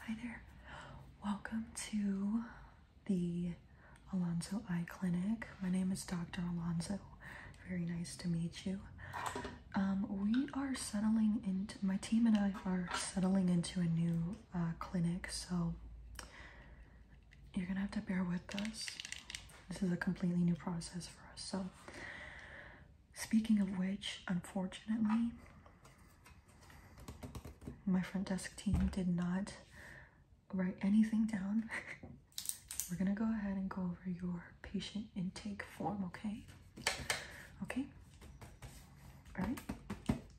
Hi there. Welcome to the Alonzo Eye Clinic. My name is Dr. Alonzo. Very nice to meet you. Um, we are settling into, my team and I are settling into a new uh, clinic, so you're gonna have to bear with us. This is a completely new process for us, so Speaking of which, unfortunately, my front desk team did not write anything down. We're gonna go ahead and go over your patient intake form, okay? Okay? All right?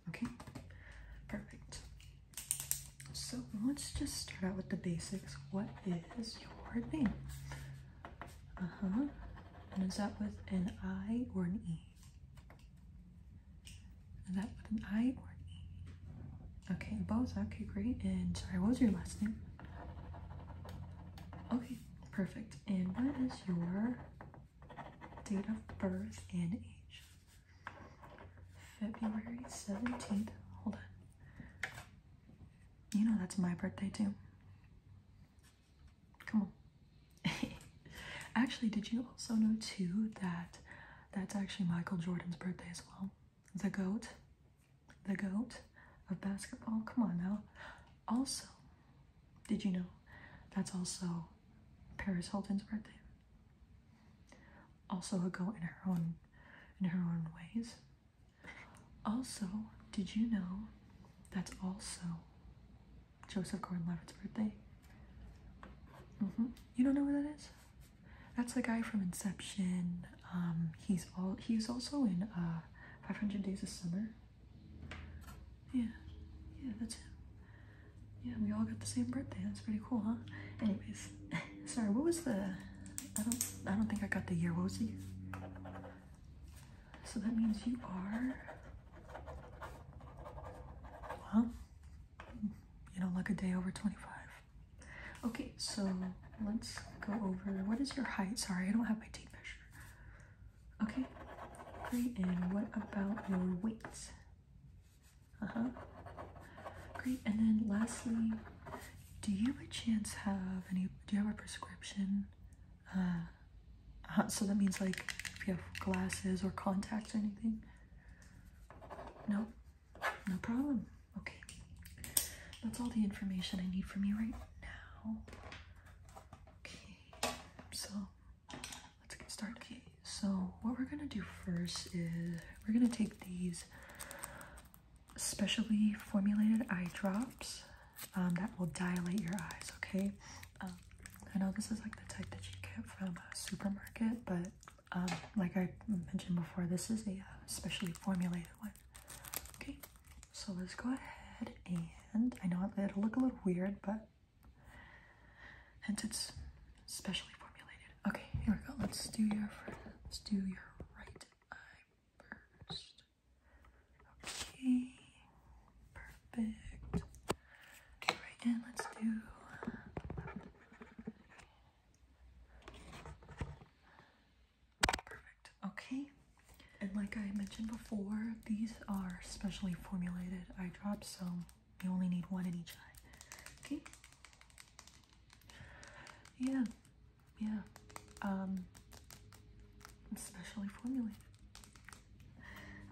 Okay? Perfect. So let's just start out with the basics. What is your name? Uh-huh. And is that with an I or an E? Is that with an I or an E? Okay, both. Okay, great. And sorry, what was your last name? Okay, perfect. And what is your date of birth and age? February 17th. Hold on. You know that's my birthday too. Come on. actually, did you also know too that that's actually Michael Jordan's birthday as well? The GOAT. The GOAT of basketball. Come on now. Also, did you know that's also Paris Hilton's birthday? Also a GOAT in her own in her own ways. Also, did you know that's also Joseph Gordon Levitt's birthday? Mm-hmm. You don't know who that is? That's the guy from Inception. Um, he's all he's also in uh, 500 Days of Summer. Yeah, yeah, that's him. Yeah, we all got the same birthday. That's pretty cool, huh? Anyways, sorry. What was the? I don't. I don't think I got the year. What was the so that means you are, well, you know, like a day over 25. Okay, so let's go over, what is your height? Sorry, I don't have my tape measure. Okay, great. And what about your weight? Uh-huh. Great, and then lastly, do you by chance have any do you have a prescription uh, uh, so that means like if you have glasses or contacts or anything no no problem okay that's all the information i need from you right now okay so let's get started okay so what we're gonna do first is we're gonna take these specially formulated eye drops um, that will dilate your eyes, okay? Um, I know this is like the type that you get from a supermarket, but um, like I mentioned before, this is a uh, specially formulated one. Okay, so let's go ahead and I know it'll look a little weird, but hence it's specially formulated. Okay, here we go. Let's do your let's do your right eye first. Okay, perfect. Right, and let's do perfect. Okay, and like I mentioned before, these are specially formulated eye drops, so you only need one in each eye. Okay, yeah, yeah. Um specially formulated.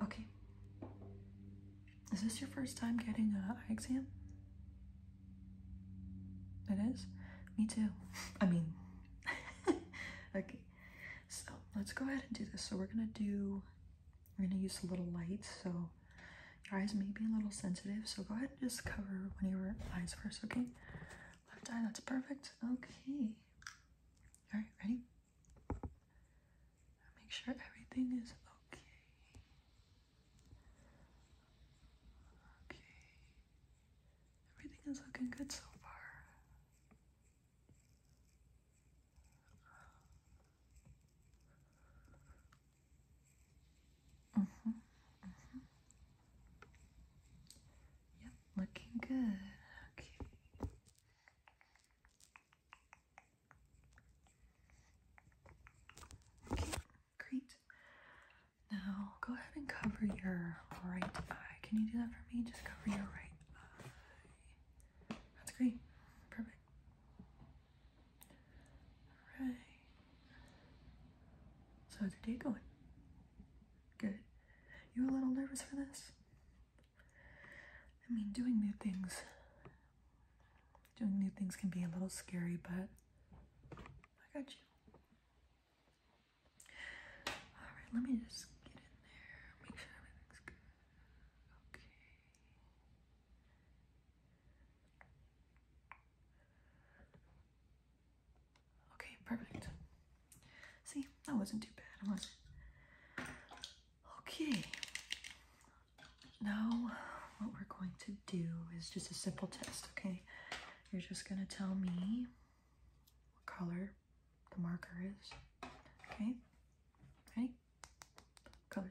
Okay. Is this your first time getting an eye exam? It is? Me too. I mean, okay. So let's go ahead and do this. So we're gonna do, we're gonna use a little light. So your eyes may be a little sensitive. So go ahead and just cover one of your eyes first, okay? Left eye, that's perfect. Okay. All right, ready? Make sure everything is okay. Okay. Everything is looking good so far. Mm -hmm, mm -hmm. Yep, looking good. Okay. Okay, great. Now go ahead and cover your right eye. Can you do that for me? Just cover your right eye. That's great. Perfect. Alright. So how's the day going? Good. You a little nervous for this? I mean, doing new things. Doing new things can be a little scary, but I got you. Alright, let me just get in there, make sure everything's good. Okay. Okay, perfect. See, that wasn't too bad, was it? Okay. Now, what we're going to do is just a simple test, okay? You're just going to tell me what color the marker is, okay? Ready? What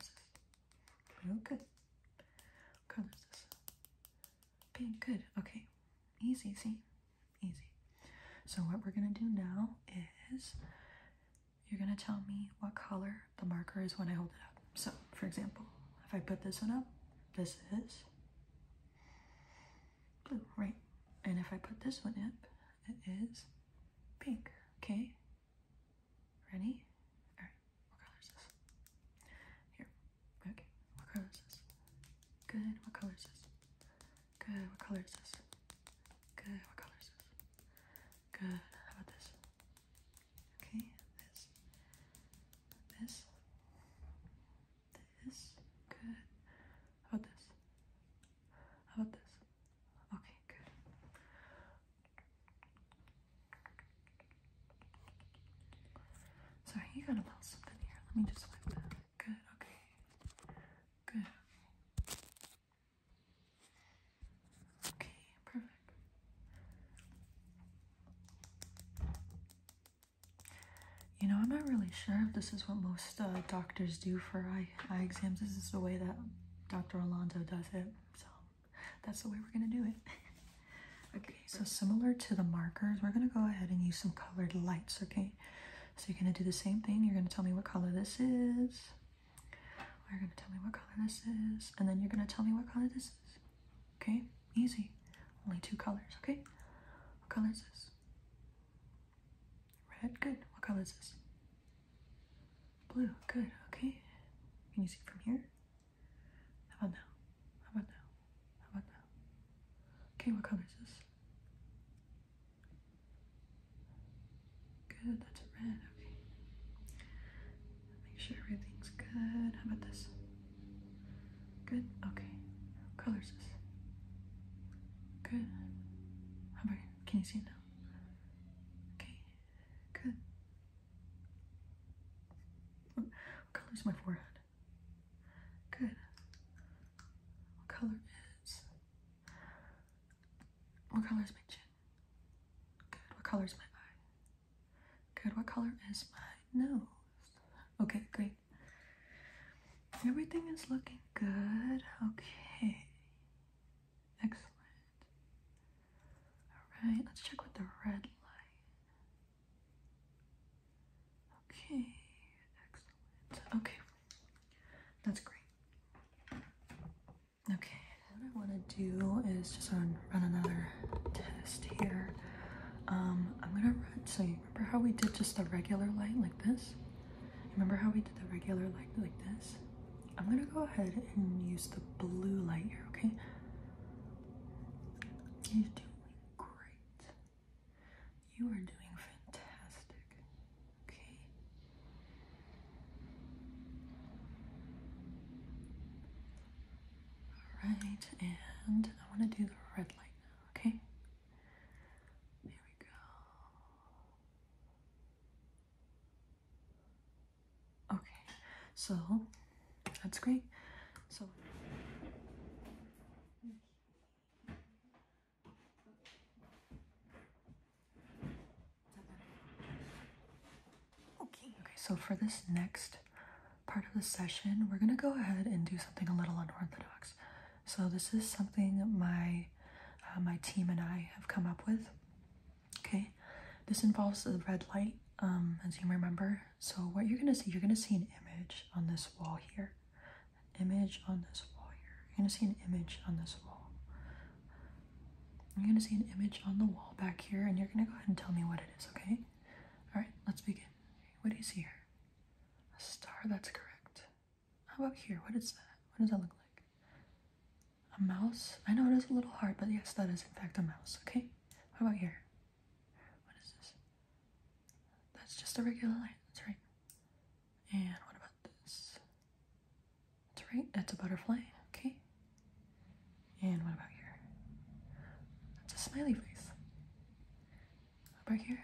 Okay. What color is this? Pink, good. Okay. Easy, Easy. Easy. So what we're gonna do now is you're gonna tell me what color the marker is when I hold it up. So, for example, if I put this one up, this is blue, right? And if I put this one up, it is pink, okay? Ready? Alright, what color is this? Here. Okay, what color is this? Good, what color is this? Good, what color is this? Good, what color is this? Good, how about this? Okay, this. This. This. Good. How about this? How about this? Okay, good. Sorry, you got a little something here. Let me just Good, okay. Good, okay. perfect. You know, I'm not really sure if this is what most uh, doctors do for eye, eye exams. This is the way that Dr. Alonso does it, so that's the way we're going to do it. okay, so similar to the markers, we're going to go ahead and use some colored lights, okay? So you're going to do the same thing. You're going to tell me what color this is. You're going to tell me what color this is. And then you're going to tell me what color this is. Okay? Easy. Only two colors, okay? What color is this? Red, good. What color is this? Blue, good, okay. Can you see from here? How about now? How about now? How about now? Okay, what color is this? Good, that's a red. Okay. Make sure everything's good. How about this? Good? Okay. color is this? Good. How about can you see it now? Okay. Good. What color is my forehead? Good. What color is... What color is my chin? Good. What color is my eye? Good. What color is my nose? Okay, great. Everything is looking good. Okay. Excellent. All right, let's check with the red light. Okay, excellent. Okay, that's great. Okay, what I want to do is just run, run another test here. Um, I'm gonna run, so you remember how we did just a regular light like this? Remember how we did the regular light like this? I'm gonna go ahead and use the blue light here, okay? You're doing great. You are doing fantastic, okay? Alright, and I wanna do the red light now, okay? There we go. Okay, so that's great. So. Okay, okay, so for this next part of the session, we're gonna go ahead and do something a little unorthodox. So this is something my uh, my team and I have come up with. Okay, this involves the red light, um, as you remember. So what you're gonna see, you're gonna see an image on this wall here, image on this wall here. You're gonna see an image on this wall. You're gonna see an image on the wall back here, and you're gonna go ahead and tell me what it is. Okay. All right, let's begin. What do you see here? A star. That's correct. How about here? What is that? What does that look like? A mouse? I know it is a little hard, but yes, that is in fact a mouse. Okay. What about here? What is this? That's just a regular light. That's right. And what about this? That's right. It's a butterfly. Okay. And what about here? That's a smiley face. Over here.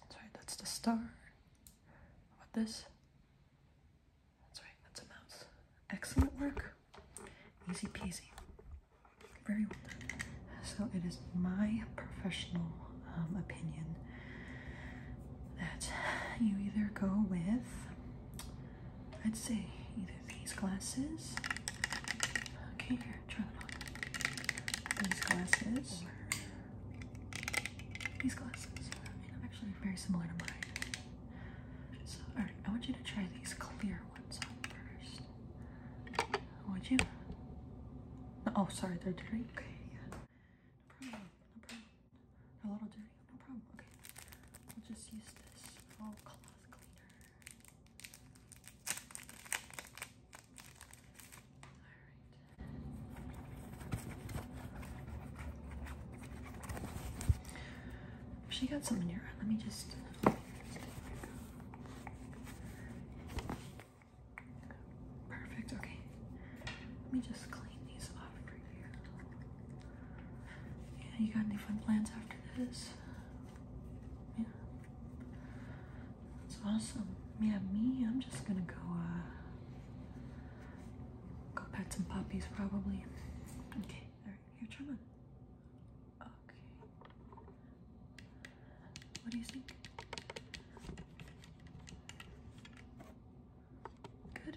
That's right. That's the star. What about this? That's right, that's a mouse. Excellent work. Easy peasy. Very well So it is my professional um, opinion that you either go with, I'd say, either these glasses. Okay, here, try them on. These glasses. these glasses very similar to mine. So, alright, I want you to try these clear ones on first. Would you? Oh, sorry, they're dirty. Okay, yeah. No problem, no problem. a little dirty, no problem. Okay, we'll just use this cloth cleaner. Alright. She got something in Let me just. Perfect. Okay. Let me just clean these off for you. Yeah, you got any fun plans after this? Yeah. That's awesome. Yeah, me, I'm just gonna go, uh, Go pet some puppies, probably. Okay, all right, here, try one. Okay. What do you think? Good.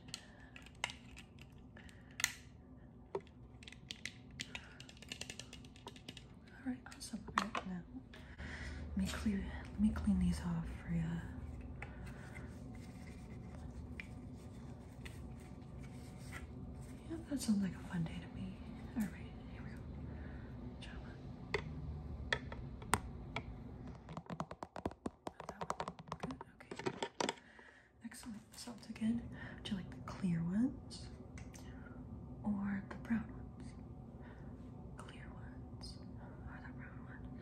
All right, awesome. Right now, let me clean, let me clean these off for you. Yeah, that sounds like a fun day to me. All right, here we go. Java. Good. Okay. Excellent. Salt you like the clear ones or the brown ones? Clear ones or the brown ones?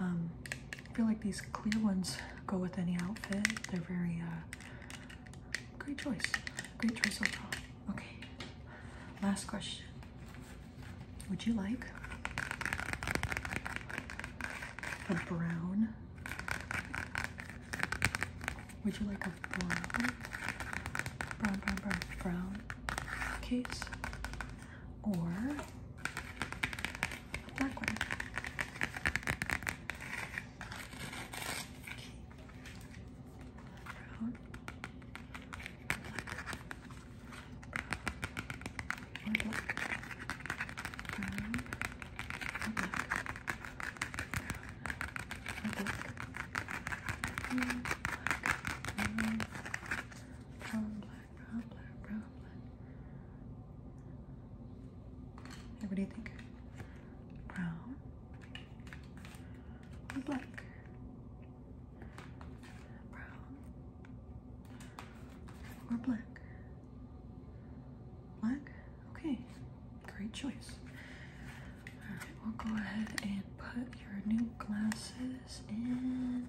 Um, I feel like these clear ones go with any outfit. They're very, uh, great choice. Great choice overall. Okay, last question. Would you like a brown? Would you like a brown, brown, brown, brown case? Or a black one. Okay. Brown, black, brown, or brown, Hey, what do you think? Brown or black? Brown or black? Black? Okay, great choice. Alright, we'll go ahead and put your new glasses in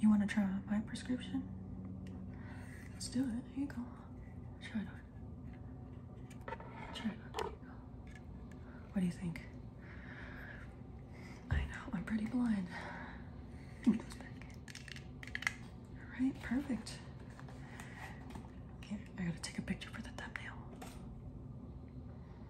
You want to try my prescription? Let's do it. Here you go. Try it Try it on. There you go. What do you think? I know, I'm pretty blind. Alright, perfect. Okay. I gotta take a picture for the thumbnail.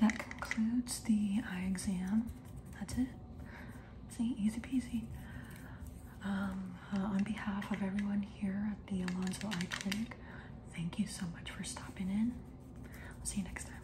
That concludes the eye exam. That's it. See, easy peasy. Um, uh, on behalf of everyone here at the Alonzo Eye Clinic, thank you so much for stopping in. I'll see you next time.